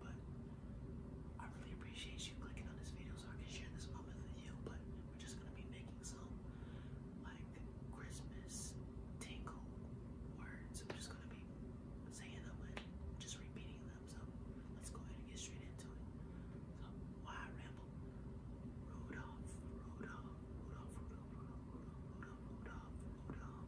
but I really appreciate you clicking on this video so I can share this moment with you. But we're just gonna be making some like Christmas tingle words. We're just gonna be saying them and just repeating them. So let's go ahead and get straight into it. So why I Rudolph, Rudolph, Rudolph, Rudolph, Rudolph, Rudolph, Rudolph, Rudolph,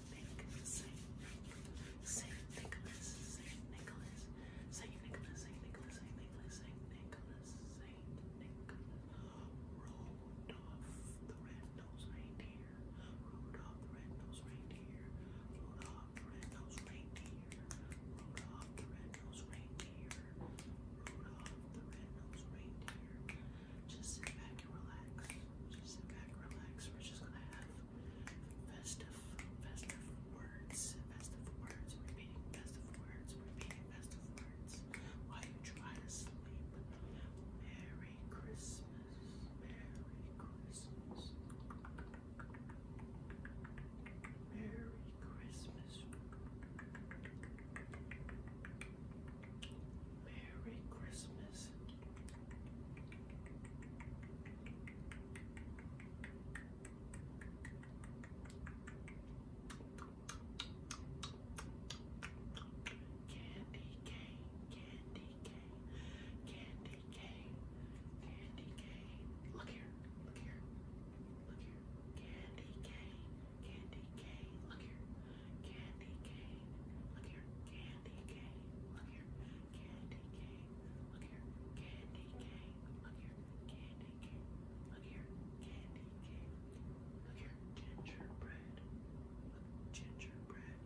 Saint Nicholas, Saint Nicholas, Saint Nicholas, Saint Nicholas, Saint Nicholas, Saint Nicholas, Saint Nicholas, Rudolph the Red-Nosed Reindeer, Rudolph the Red-Nosed Reindeer, Rudolph the Red-Nosed Reindeer, Rudolph the Red-Nosed Reindeer, Rudolph the Red-Nosed Reindeer. Just sit back and relax. Just sit back, relax. We're just gonna have festive, festive words, festive words, repeating festive words, repeating festive words while you try to sleep. Merry Christmas, Merry Christmas, Merry Christmas. Merry Christmas. Candy cane, candy cane, candy cane, candy cane. Look here, look here, look here. Candy cane, Candy cane. Look here. Candy cane. Look here. Candy cane. Look here. Candy cane. Look here. Candy cane. Look here. Candy cane. Look here. Candy cane. Look here. Gingerbread.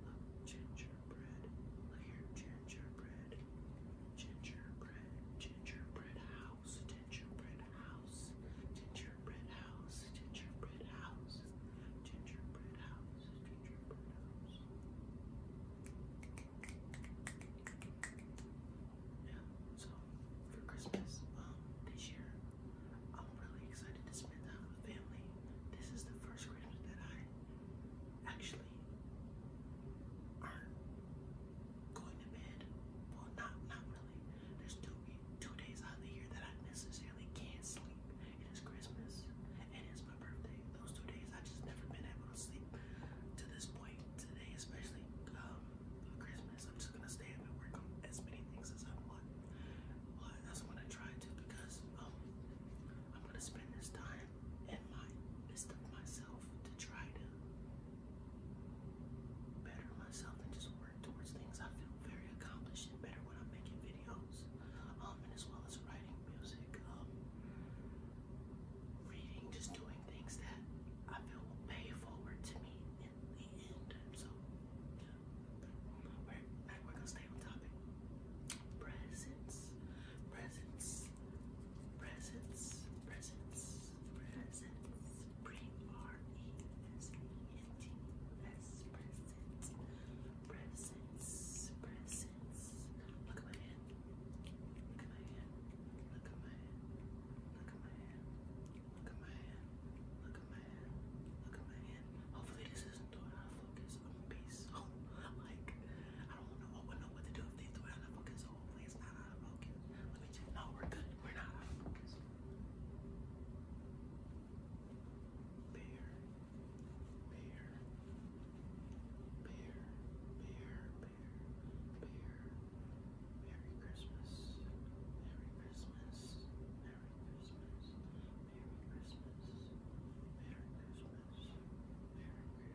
Look gingerbread. Look gingerbread. Look here. Gingerbread. Gingerbread. Gingerbread house house, gingerbread house, gingerbread house, gingerbread house, gingerbread house, gingerbread house. Yeah, so for Christmas, um, this year, I'm really excited to spend time with family. This is the first Christmas that I actually aren't going to bed. Well, not not really there's two two days out of the year that I necessarily can't sleep. It is Christmas and it's my birthday. Those two days I just never been able to sleep to this point. Today, especially um, Christmas, I'm just gonna stay up and work on as many things as I want. But that's what I try to because um, I'm gonna spend this time and my best of myself to try to better myself and just work towards things. I feel very accomplished and better when I'm making videos, um, and as well as writing music, um, reading, just doing things that I feel will pay forward to me in the end. So, We're, we're gonna stay on topic. Presents, presents, presents, presents presents. Bring R E S E N T U S presents. Presents. Presents. Look at my hand. Look at my hand. Look at my hand. Look at my hand. Look at my hand. Look at my hand. Look at my hand. Hopefully this isn't doing out focus. I'm going like I don't wanna, I know what to do if they threw it focus. No, we're good. We're not out of focus. Bear, bear, bear, bear, bear, bear. Merry Christmas. Merry Christmas. Merry Christmas. Merry Christmas. Merry Christmas.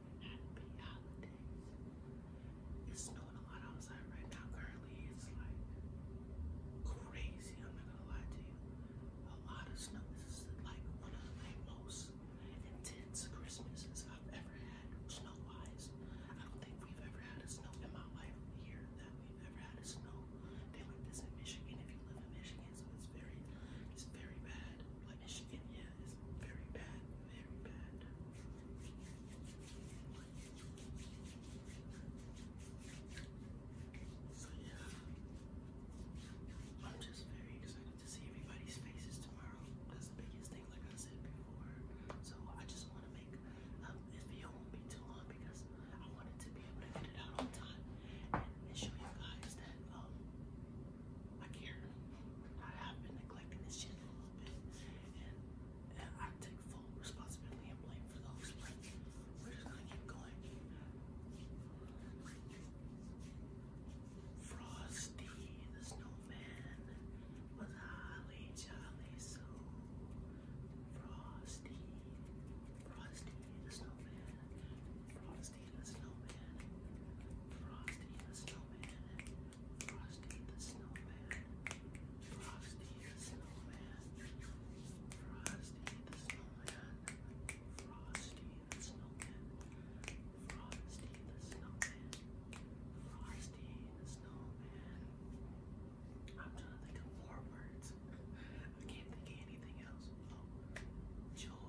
happy holidays. It's snowing a lot outside right now. Carly. it's like crazy. I'm not gonna lie to you. A lot of snow. This is like one of the most intense Christmases I've ever had, snow wise. I don't think we've ever had a snow in my life here that we've ever had a snow day like this in Michigan. If you live in Michigan, so it's very, it's very bad. Like Michigan, yeah, it's very bad, very bad. So yeah, I'm just very excited to see everybody's faces tomorrow. That's the biggest thing, like I said before. So I just want to make um, this video won't be too long because I wanted to be able to get it out on time and, and show you guys that um like here. I have been neglecting this shit a little bit, and, I take full responsibility and blame for those. But we're just gonna keep going. Frosty the Snowman was highly jolly so. Frosty, Frosty the Snowman, Frosty the Snowman, Frosty the Snowman, Frosty the Snowman, Frosty the Snowman, Frosty the Snowman, Frosty the Snowman, Frosty the Snowman, Frosty the Snowman. I'm trying to think of words. I can't think of anything else. Oh,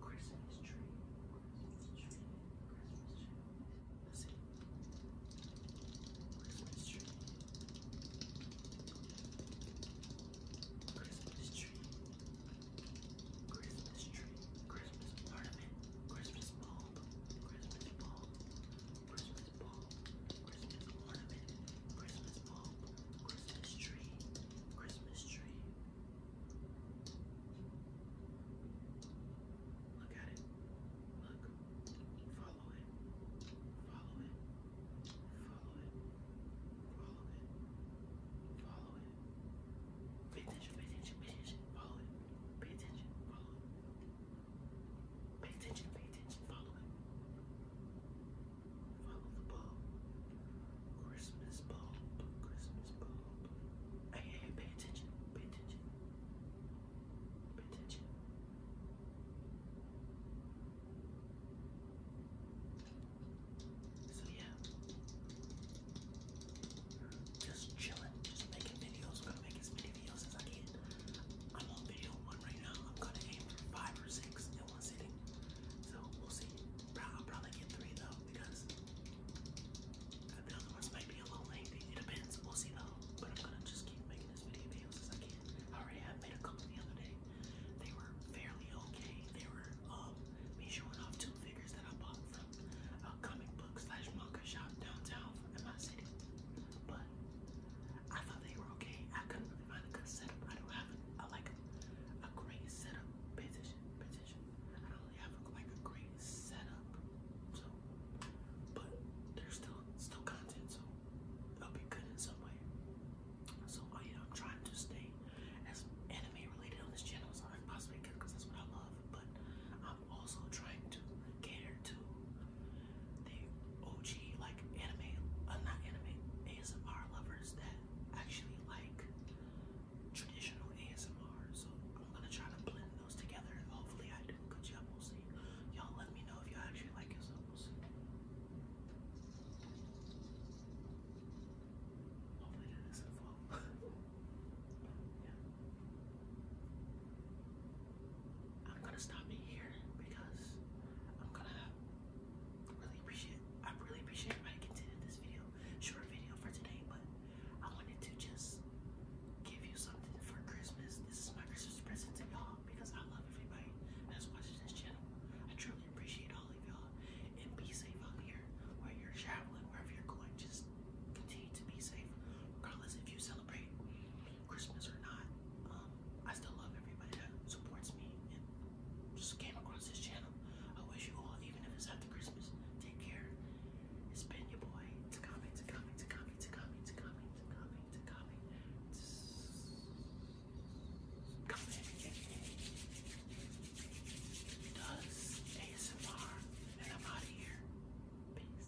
Christmas tree. Christmas tree. Christmas tree. Let's see. Christmas tree. Christmas tree. Christmas tree. Christmas ornament. Christmas bulb. Christmas bulb. Christmas bulb. Christmas ornament. Christmas bulb. Christmas tree. Christmas tree. Look at it. Look. Follow it. Follow it. Follow it. Follow it. Follow it. Pay attention, pay attention, pay attention. Follow it. Pay attention, follow it. Pay attention, pay attention, follow it. Follow the bulb. Christmas bulb. Christmas bulb. Hey, pay attention. Pay attention. Pay attention. So yeah. Just chilling, just making videos. gonna make as many videos as I can. I'm on video right now. I'm gonna aim for five or six in one sitting. So we'll see. I'll probably get three though because the other ones might be a little lengthy. It depends. We'll see though. But I'm gonna just keep making as many videos as I can. I already have made a couple the other day. They were fairly okay. They were um me showing off two figures that I bought from a comic book slash manga shop downtown in my city. But I thought they were okay. I couldn't I don't have like a great setup. Petition, petition. I don't have like a great setup. So, but there's still still content, so it'll be good in some way. So, I'm trying to stay as anime related on this channel as I because that's what I love. But I'm also trying to cater to the OG like anime, uh, not anime ASMR lovers that actually like traditional ASMR. So I'm gonna try to blend those together. hopefully I do. good job. y'all will see. Y'all let me know if y'all actually like it. we'll see. Hopefully that doesn't fall. yeah. I'm gonna stop it here because I'm gonna really appreciate I really appreciate everybody continuing this video. Short video for today, but I wanted to just give you something for Christmas. This is my Christmas present to y'all because I love everybody that's watching this channel. I truly appreciate all of y'all and be safe out here where you're traveling, wherever you're going. Just continue to be safe, regardless if you celebrate Christmas or not, um, I still love everybody that supports me and just came across this channel. I wish you all, even if it's after Christmas, take care. It's been your boy, Takami, Takami, Takami, Takami, Takami, Takami, Takami, Takami. Does ASMR, and I'm out of here. Peace.